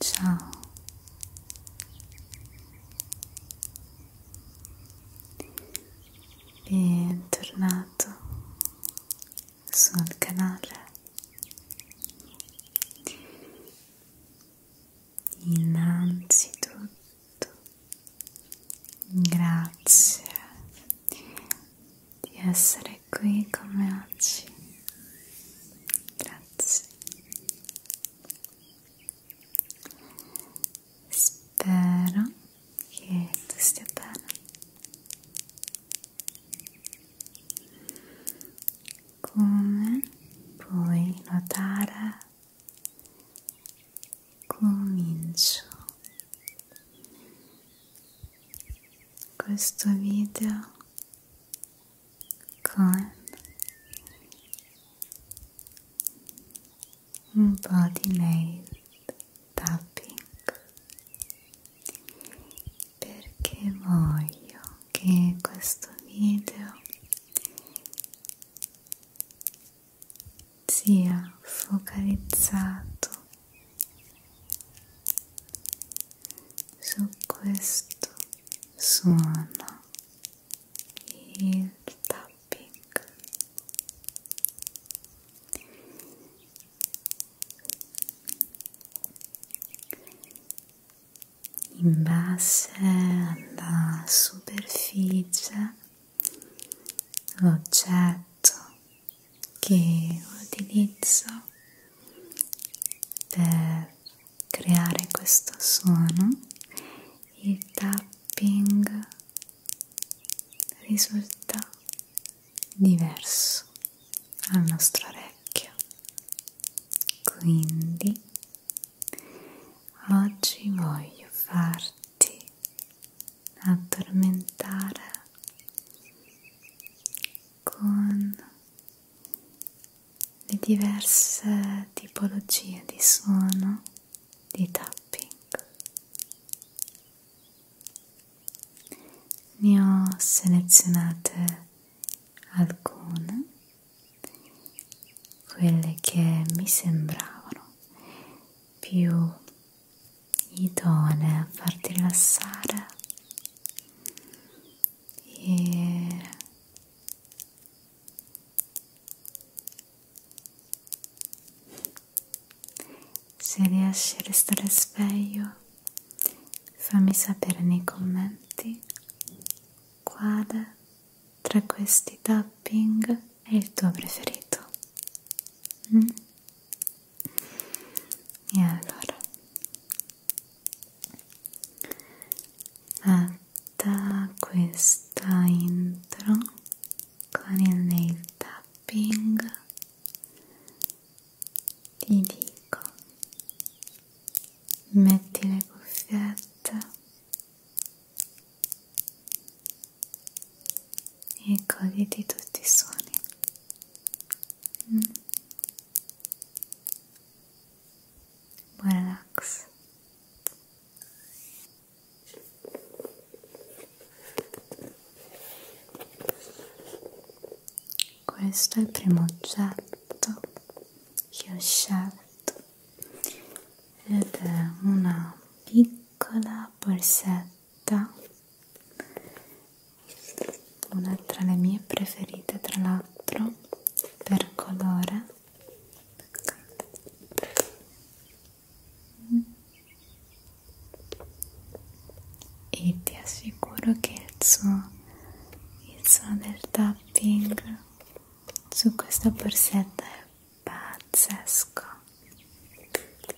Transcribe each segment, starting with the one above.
Ciao. Bentornato sul canale. Innanzitutto, grazie di essere qui come oggi. Grazie. Spero che tu stia bene. Come puoi notare, comincio questo video con un po' di nail tapping perché voglio che questo video sia focalizzato su questo suono il tapping in base alla superficie l'oggetto che utilizzo per creare questo suono il tapping risulta diverso al nostro orecchio quindi oggi voglio farti addormentare con le diverse tipologie di suono di tapping ne ho selezionate alcune quelle che mi sembravano più idonee a farti rilassare e se riesci a restare sveglio fammi sapere nei commenti quale tra questi tapping è il tuo preferito mm? E allora fatta questa intro con il nail tapping ti dico metti le cuffiette e goditi tutti i suoni. Mm. Buon relax. Questo è il primo oggetto che ho scelto ed è una piccola borsetta paletta una tra le mie preferite tra l'altro per colore e ti assicuro che il suono, il suono del tapping su questa borsetta è pazzesco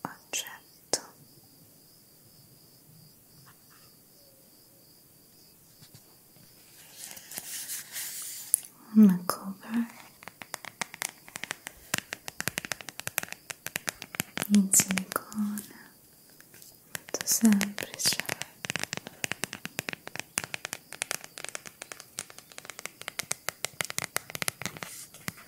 oggetto una cover in silicone molto semplice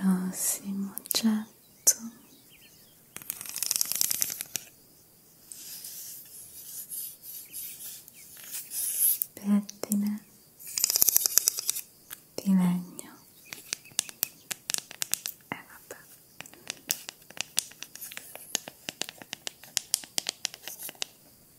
prossimo oggetto pettine di legno e eh, vabbè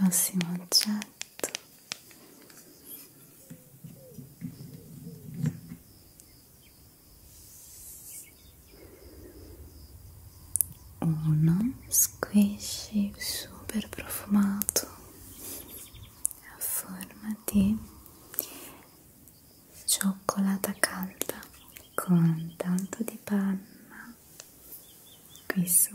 Prossimo oggetto uno squishy super profumato a forma di cioccolata calda con tanto di panna qui su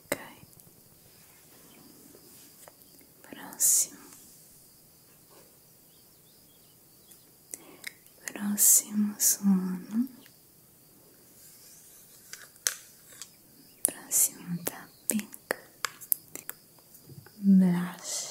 Ok. Próximo. Próximo sono. Próximo tapping. Blush.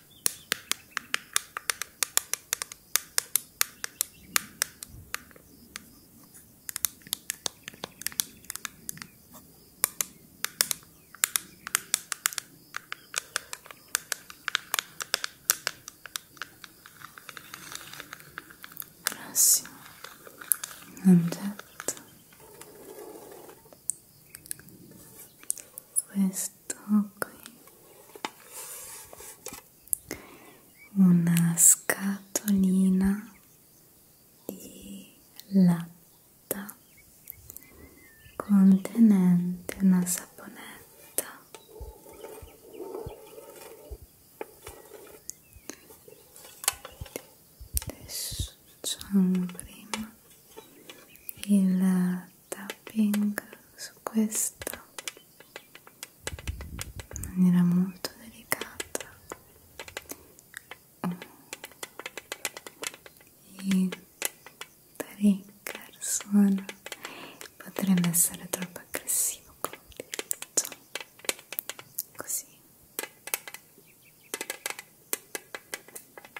Prossimo oggetto questo questo qui una scatolina di latta contenente una saponetta adesso facciamo prima il tapping su questa in maniera molto delicata i trigger sono potrebbe essere troppo aggressivo con l'utilizzo così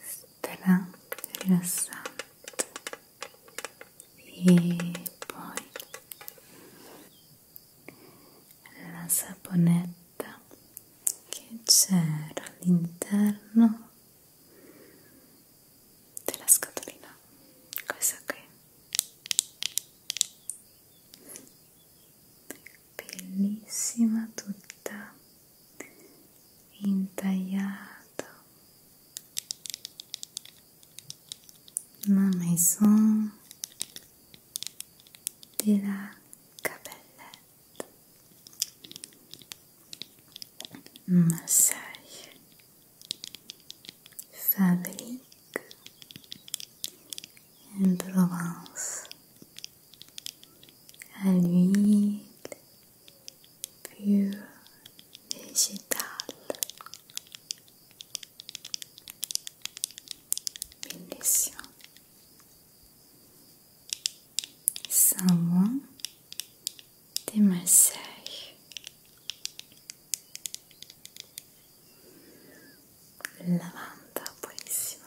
stra rilassante e poi la saponetta che c'era all'interno della scatolina questa qui bellissima tutta intagliata una maison della capellette massage fabrique in Provence à l'huile pure végétale. Bénédiction. Samoin des massages. Lavanda, buonissimo.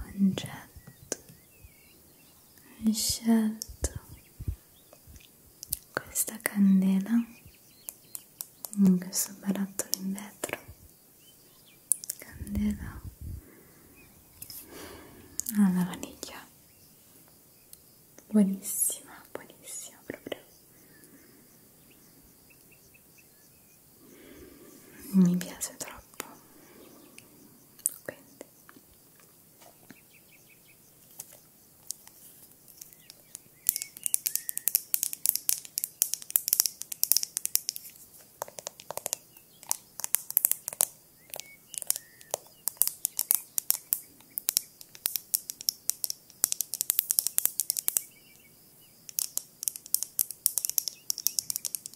oggetto ho scelto questa candela in questo barattolo in vetro candela alla vaniglia buonissima buonissima proprio mi piace troppo quindi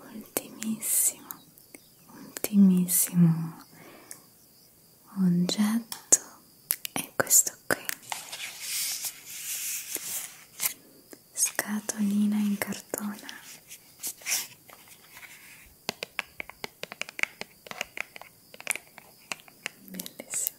ultimissimo ultimissimo oggetto è questo qui scatolina in cartone bellissimo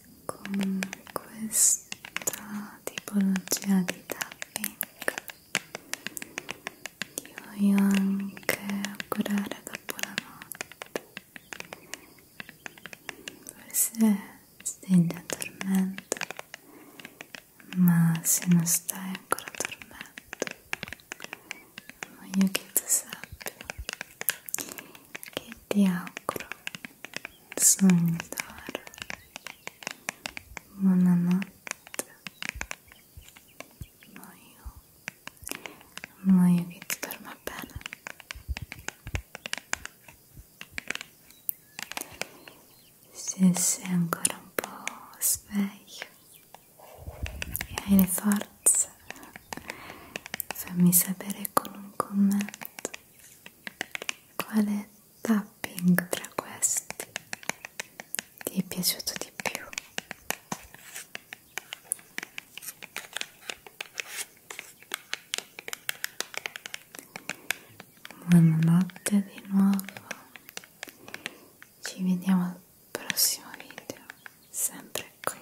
con questa tipologia di tapping ti voglio anche augurare dopo la notte forse stai già dormendo ma se non stai ancora dormendo voglio che tu sappia che ti auguro sognare buonanotte voglio voglio che ti dorma bene se sei ancora un po' sveglio e hai le forze fammi sapere con un commento quale tapping tra questi ti è piaciuto di più? Buonanotte di nuovo, ci vediamo al prossimo video, sempre qui.